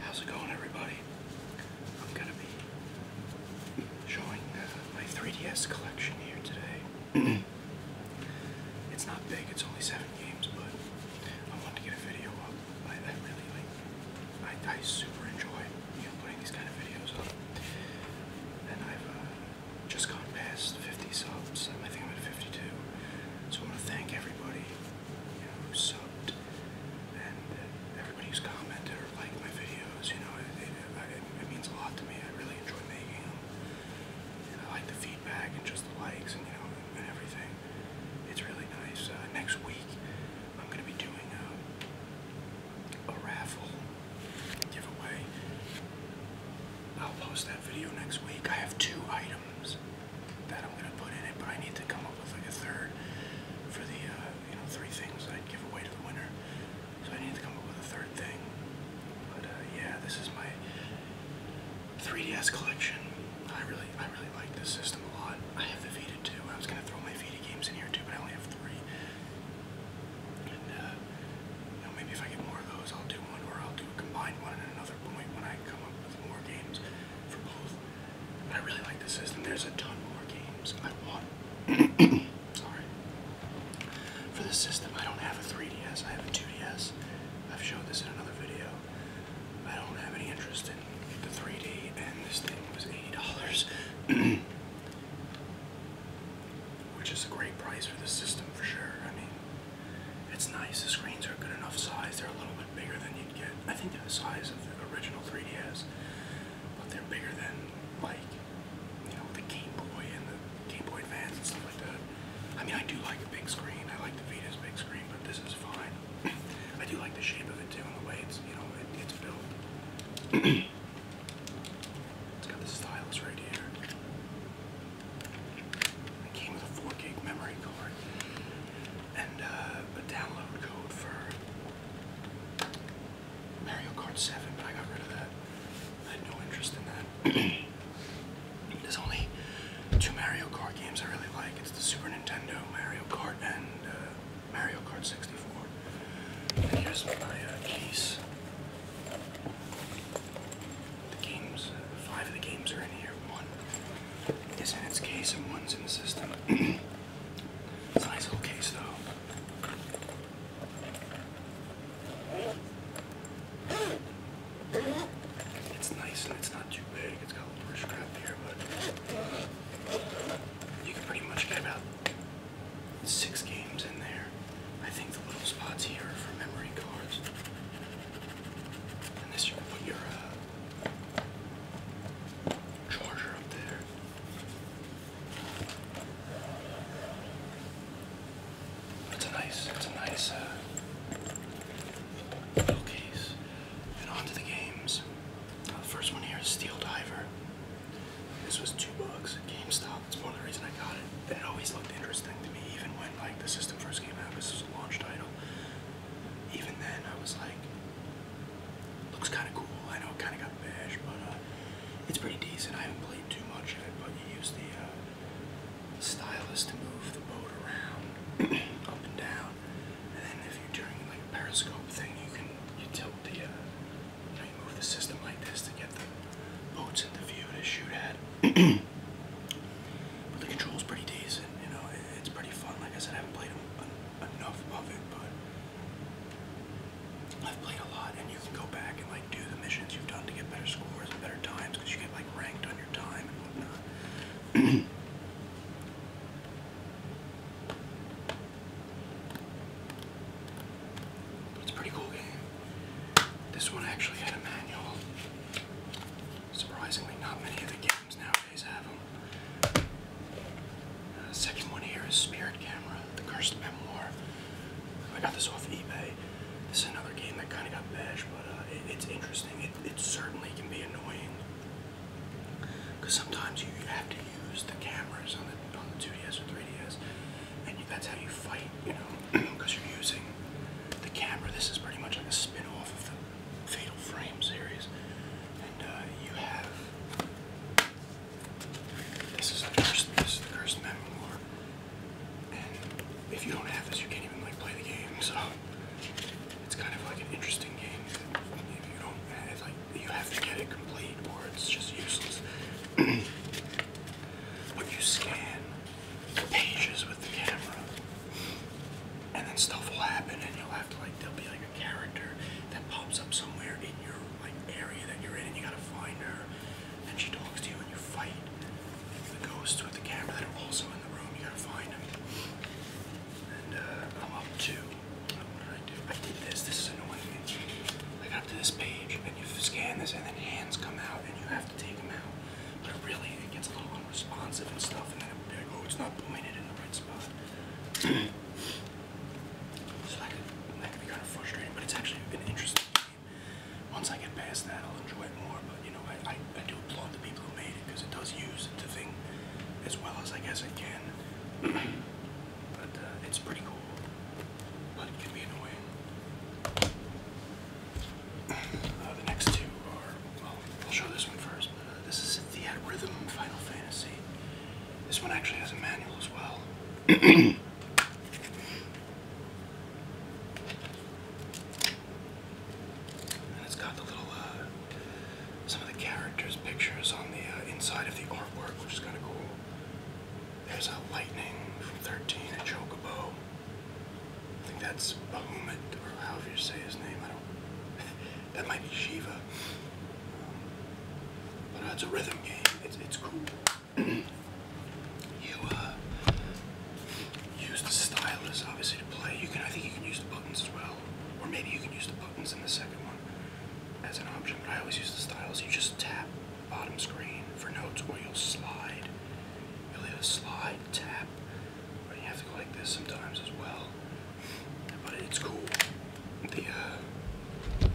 How's it going, everybody? I'm gonna be showing uh, my 3DS collection here today. it's not big; it's only seven games, but I wanted to get a video up. I, really like. I, I super enjoy you know putting these kind of videos up, and I've uh, just gone past 50 subs. I think I'm at 52. So I want to thank everybody you know, who subbed and uh, everybody who's commented or liked my videos. You know, it, it, it, it means a lot to me. I really enjoy making them. And I like the feedback and just the likes and, you know, and everything. It's really nice. Uh, next week, I'm going to be doing a, a raffle giveaway. I'll post that video next week. I have two items that I'm gonna put in it, but I need to come up with like a third for the uh, you know three things I'd give away to the winner. So I need to come up with a third thing. But uh, yeah, this is my 3DS collection. I really I really like this system a lot. I have the Vita too. I was gonna throw my Vita games in here too, but I only have three. And uh, you know, maybe if I get more of those, I'll do one, or I'll do a combined one at another point when I come up with more games for both. I really like the system. There's a ton more games I want. Sorry. For this system, I don't have a 3DS. I have a 2DS. I've showed this in another video. I don't have any interest in the 3D, and this thing was $80. Which is a great price for this system for sure. I mean, it's nice. The screens are a good enough size. They're a little bit bigger than you'd get. I think they're the size of the original 3DS, but they're bigger than like you know the Game Boy and the Game Boy Advance and stuff like that. I mean, I do like a big screen. I like the Vita's big screen, but this is fine. I do like the shape of it too, and the way it's you know it's built. it's got the stylus right here. It came with a 4 gig memory card and uh, a download code for Mario Kart 7, but I got rid of that. I had no interest in that. There's only two Mario Kart games I really like. It's the Super Nintendo Mario Kart and uh, Mario Kart 64. And here's my case. Uh, the games, five of the games are in here. One, is in its case and one's in the system. it's nice little case though. It's nice and it's not too big. It's got a little scrap here, but you can pretty much get about six games in there. I think the little spots here are for memory cards. And this you can put your uh, charger up there. It's a nice, it's a nice uh, little case. And on the games. Uh, the first one here is Steel Diver. This was two bucks at GameStop. That's part of the reason I got it. And it always looked interesting to me, even when like the system first came out. This was a launch title even then I was like, looks kind of cool. I know it kind of got bashed, but uh, it's pretty decent. I haven't played too much in it, but you use the uh, stylus to move the boat around, up and down, and then if you're doing like a periscope thing, you can you tilt the, uh, you know, you move the system like this to get the boats in the view to shoot at. but the control's pretty decent you know it's pretty fun. Like I said, I haven't played enough of it, but I've played a lot, and you can go back and like do the missions you've done to get better scores and better times because you get like ranked on your time and whatnot. it's a pretty cool game. This one actually had a manual. Surprisingly, not many of the games now uh, the second one here is Spirit Camera, The Cursed Memoir. I got this off eBay. This is another game that kind of got bashed, but uh, it's interesting. It, certainly can be annoying because sometimes you have to use the cameras on the on the 2DS or 3DS, and that's how you fight. You know, because you're using the camera. This is pretty much like a spin-off of the Fatal Frame series, and uh, you have this is the cursed, this is the cursed memoir, and if you don't have this, you can't even like play the game. So it's kind of like an interesting game. If you don't have like, you have to get it complete, or it's just useless. but you scan the pages with the camera and then stuff will happen and you'll have to like there'll be like a character that pops up somewhere in your like area that you're in and you gotta find her and she talks to you and you fight the ghosts with the camera that are also in the room you gotta find them and uh, I'm up to what did I do I did this this is annoying I got up to this page and you scan this and then hands come out and you have to take them out but it really it gets a little unresponsive and stuff and then it, like, oh it's not. Once I get past that, I'll enjoy it more, but you know, I, do applaud the people who made it because it does use the thing as well as I guess it can. but uh, it's pretty cool, but it can be annoying. Uh, the next two are, I'll show this one first. Uh, this is a at rhythm Final Fantasy. This one actually has a manual as well. it's got the little, uh, some of the characters' pictures on the uh, inside of the artwork, which is kind of cool. There's a lightning from 13, a chocobo. I think that's Bahamut, or however you say his name. I don't. That might be Shiva. but uh, it's a rhythm game. It's, it's cool. you uh, use the stylus, obviously, to play. You can, I think you can use the buttons as well. Or maybe you can use the buttons in the second one as an option. But I always use the stylus. You just tap bottom screen for notes, or you'll slide. You'll either slide, tap, or you have to go like this sometimes as well but it's cool. The uh,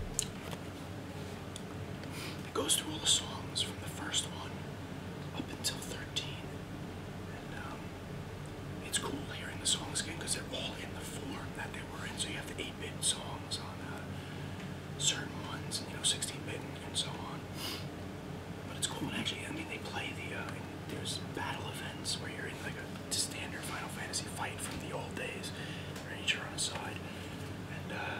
it goes through all the songs from the first one up until thirteen, and um, it's cool hearing the songs again because they're all in the form that they were in. So you have the eight-bit songs on uh, certain ones, and you know, sixteen-bit and, so on. But it's cool, and actually, I mean, they play the uh, there's battle events where you're in like a standard Final Fantasy fight from the old days, right? You're on side, and uh,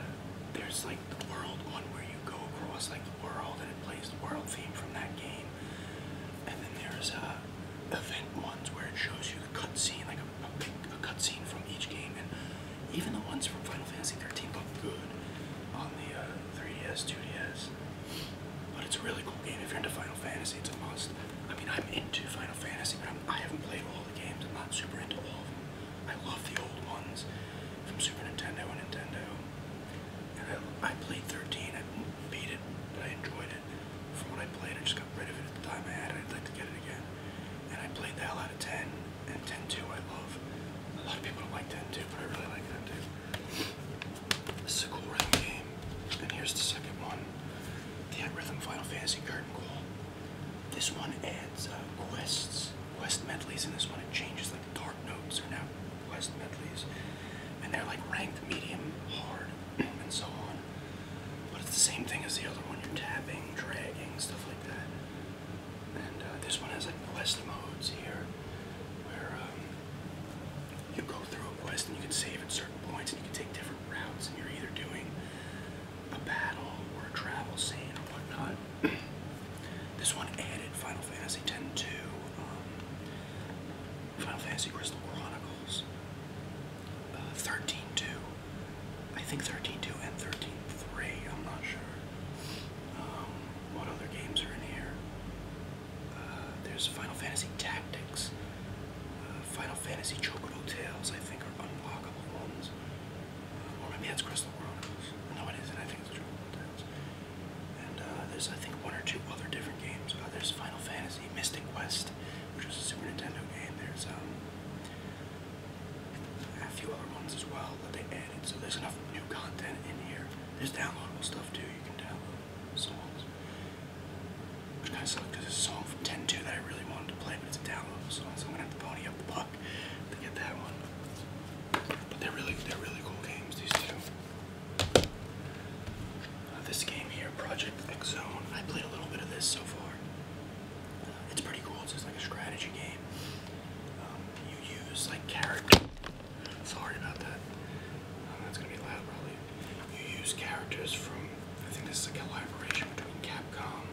there's like the world one where you go across like the world and it plays the world theme from that game, and then there's uh, event ones where it shows you the cutscene, like a, big a cutscene from each game, and even the ones from Final Fantasy 13 look good on the 3DS, uh, 2DS. But it's a really cool game if you're into Final Fantasy. It's a must. I mean, I'm into Final Fantasy, but I'm, I haven't played all the games. I'm not super into all of them. I love the old ones from Super Nintendo and Nintendo. And I, I played 13. I beat it, but I enjoyed it. From what I played, I just got rid of it at the time I had it. I'd like to get it again. And I played the hell out of 10. And 10-2 I love. A lot of people don't like 10-2, but I really like 10-2. This is a cool rhythm game. And here's the second one. The Rhythm Final Fantasy Curtain Call. This one adds uh, quests, quest medleys, and this one it changes like dark notes are now quest medleys. And they're like ranked medium, hard, and so on. But it's the same thing as the other one. You're tapping, dragging, stuff like that. And uh, this one has like quest modes here, where um, you go through a quest and you can save at certain points and you can take different routes and you're either doing a battle or a travel scene or whatnot. this one added Final Fantasy X to um, Final Fantasy Crystal Chronicles uh, 13 2. I think 13 2 and 13 3, I'm not sure. Um, what other games are in here? Uh, there's Final Fantasy Tactics. Uh, Final Fantasy Chocobo Tales, I think, are unblockable ones. Uh, or maybe that's Crystal Chronicles. No, it isn't. I think it's Chocobo Tales. And uh, there's, I think, one or two other different games. Uh, there's Final Fantasy Mystic West, which was a Super Nintendo game. There's um, a few other ones as well that they added. So there's enough new content in here. There's downloadable stuff, too. You can download which kind of sucks because it's a song from 10 that I really wanted to play, but it's a downloadable song, so I'm gonna have to pony up the buck to get that one. But they're really, they're really cool games, these two. Uh, this game here, Project X Zone, I played a little bit of this so far. Uh, it's pretty cool. It's like a strategy game. Um, you use like character Sorry about that. that's uh, gonna be loud probably. You use characters from, I think this is a collaboration between Capcom,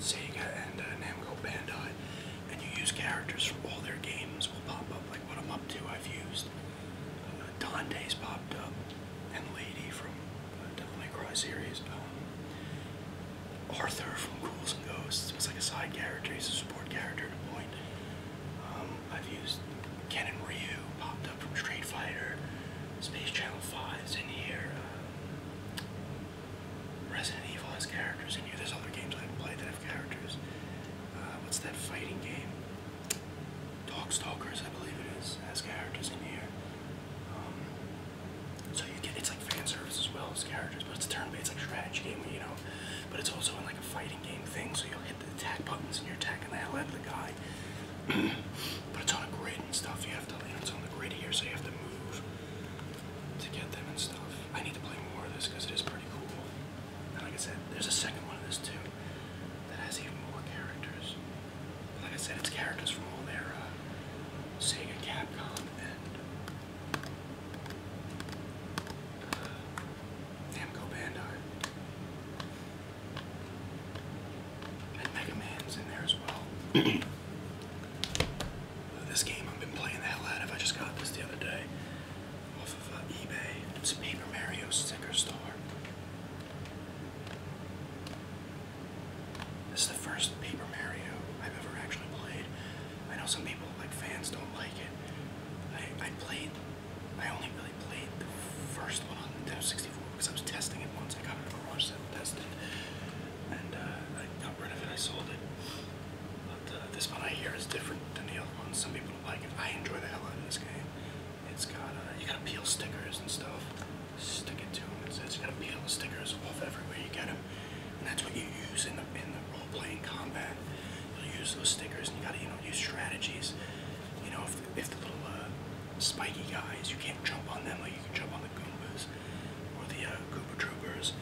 Sega, and uh, Namco Bandai, and you use characters from all their games will pop up, like what I'm up to I've used. Uh, Dante's popped up, and Lady from the uh, Devil May Cry series. Um, Arthur from Ghouls and Ghosts was like a side character, he's a support character at a point. Um, I've used Ken and Ryu, popped up from Street Fighter, Space Channel 5 is in here, uh, Resident Evil has characters in here. There's other games I have played that have characters. Uh, what's that fighting game? Dogstalkers, I believe it is, has characters in here. Um, so you get it's like fan service as well as characters, but it's a turn-based like strategy game, you know. But it's also in like a fight fighting game thing, so you'll hit the attack buttons and you're attacking the hell out of the guy. but it's on a grid and stuff. You have to, you know, it's on the grid here, so you have to move to get them and stuff. I need to play more of this because it is pretty cool. And like I said, there's a second one of this too that has even more characters. But like I said, it's characters from all their uh, Sega, Capcom, and. Uh, Namco Bandai. And Mega Man's in there as well. this game I've been playing the hell out of. I just got this the other day off of uh, eBay. It's Paper Mario Sticker Star. This is the first Paper Mario I've ever actually played. I know some people, like fans, don't like it. I, I played I only really played the first one on Nintendo 64 because I was testing it once. I got it at a garage sale, tested it, and uh, I got rid of it. I sold it. But uh, this one I hear is different than the other ones. Some people like it. I enjoy the hell out of this game. It's got uh, you gotta peel stickers and stuff. Stick it to them. It says you gotta peel the stickers off everywhere you get them, and that's what you use in the in the role playing combat. you use those stickers, and you gotta you know use strategies. You know, off. They have the little uh, spiky guys. You can't jump on them like you can jump on the Goombas or the uh, Goomba Troopers.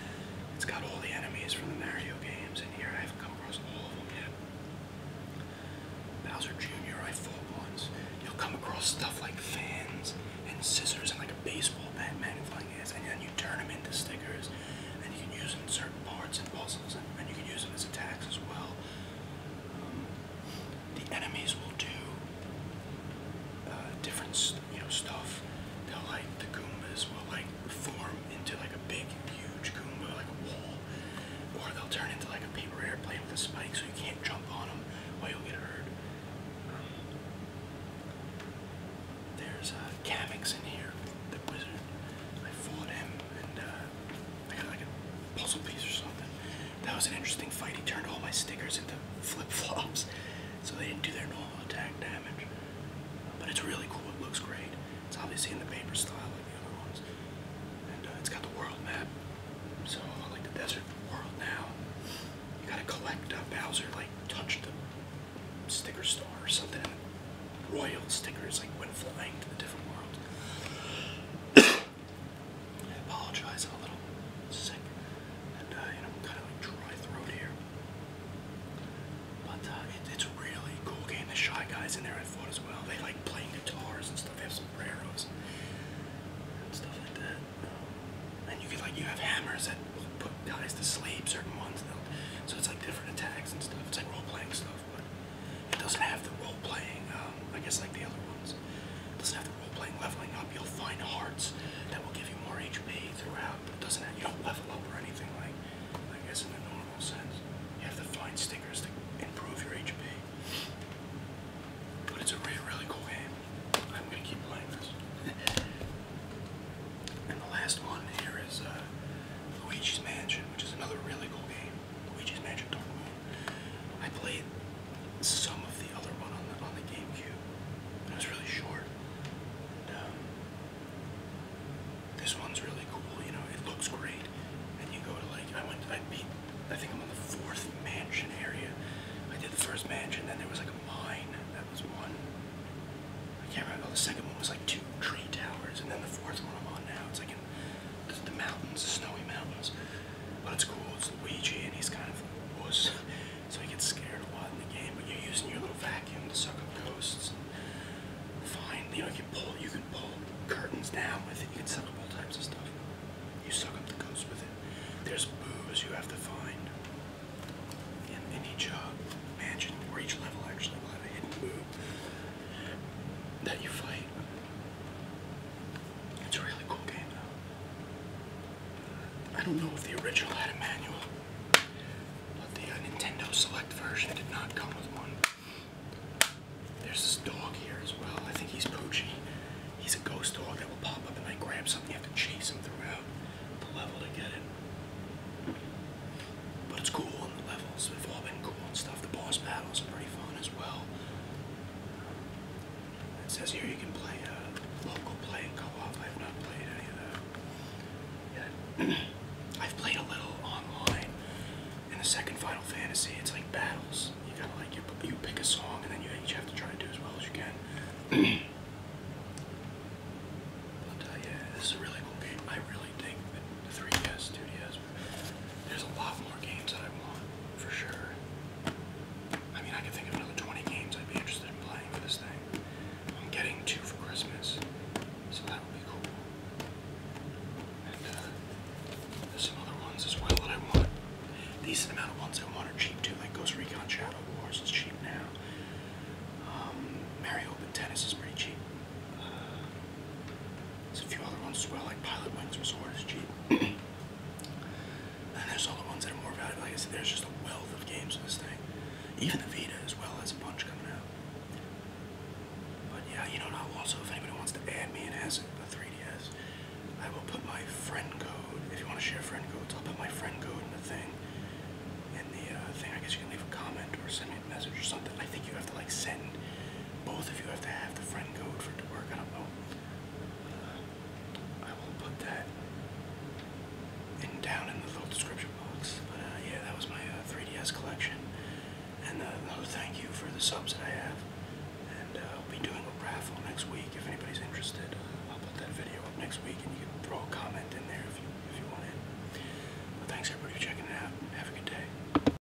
It's got all the enemies from the Mario games in here. I haven't come across all of them yet. Bowser Jr. I fought once. You'll come across stuff like fans and scissors and like a baseball bat magnifying glass, and then you turn them into stickers, and you can use them in certain parts and puzzles, and, and you can use them as attacks as well the enemies will do uh, different, you know, stuff. They'll like the Goombas will like form into like a big, huge Goomba, like a wall, or they'll turn into like a paper airplane with a spike, so you can't jump on them, or you'll get hurt. there's a uh, Kamix in here, the wizard. I fought him, and uh, I got like a puzzle piece or something. That was an interesting fight. He turned all my stickers into flip flops, so they didn't do their normal attack damage. But it's really cool. It looks great. It's obviously in the paper style like the other ones, and uh, it's got the world map. So I like the desert world now, you gotta collect uh, Bowser. Like touch the sticker star or something royal stickers like went flying to a different world. I apologize, I'm a little sick and uh, you know, kind of like dry throat here. But uh, it's a really cool game. The Shy Guys in there I thought as well. They like playing guitars and stuff. They have some sombreros and stuff like that. Um, and you can like, you have hammers that will put guys to sleep, certain ones. though, So it's like different attacks and stuff. It's like role playing stuff stuff, but it doesn't have the role playing, um, I guess like the other ones. It doesn't have the role playing leveling up. You'll find hearts that will give you more HP throughout, but it doesn't have, you don't level up or anything like, I guess in the normal sense. You have to find stickers to improve your HP. But it's a really, really cool game. I'm gonna keep playing this. and the last one here is uh, Luigi's Mansion, which is another really cool game. Luigi's Magic Dark Moon. I played some of the other one on the on the GameCube. It was really short. Um, this one's really cool. You know, it looks great. And you go to like I went. I beat. I think I'm on the fourth mansion area. I did the first mansion. Then there was like a mine. That was one. I can't remember. The second one was like two tree towers, and then the fourth one I'm on now. It's like a the, mountains, the snowy mountains. But it's cool, it's Luigi and he's kind of a wuss, so he gets scared a lot in the game. But you're using your little vacuum to suck up ghosts. And find, you know, you pull, you can pull curtains down with it. You can suck up all types of stuff. You suck up the ghosts with it. There's boos you have to find. in each uh, mansion or each level actually will have a hidden boob that you fight. It's a really cool game though. I don't know if the original had a manual, but the Nintendo Select version did not come with one. There's this dog here as well. I think he's Poochie. He's a ghost dog that will pop up and like grab something. You have to chase him throughout the level to get it. But it's cool on the levels. we have all been cool on stuff. The boss battles are pretty fun as well. It says here you can play uh, local play and co-op. I've not played any of that yet. I've played a little online in the second Final Fantasy. It's like battles. You gotta like you, pick a song and then you have to try to do as well as you can. but uh, yeah, this is a really cool game. I really dig the, 3DS, 2DS, there's a lot more games that I want, for sure. I mean, I can think of another 20 games I'd be interested in playing for this thing. I'm getting two for Christmas, so that would be cool. And uh, there's some other ones as well that I want. Decent amount of ones I want are cheap too, like Ghost Recon Shadow Wars is cheap now. Um, Mario Tennis is pretty cheap. There's a few other ones as well, like Pilot Wings Resort is cheap. and there's all the ones that are more valuable. Like I said, there's just a wealth of games in this thing. Even the Vita as well has a bunch coming out. But yeah, you know, and also, if anybody wants to add me and has a 3DS, I will put my friend code, if you want to share friend codes, I'll put my friend code in the thing. In the uh, thing, I guess you can leave a comment or send me a message or something. I think you have to like send both of you have to have the friend code for it to work. I don't know. Uh, I will put that in down in the little description box. But uh, yeah, that was my uh, 3DS collection. And uh, another thank you for the subs that I have. And uh, I'll be doing a raffle next week if anybody's interested. Uh, I'll put that video up next week and you can throw a comment in there if you, if you want it. But thanks everybody for checking it out. Have a good day.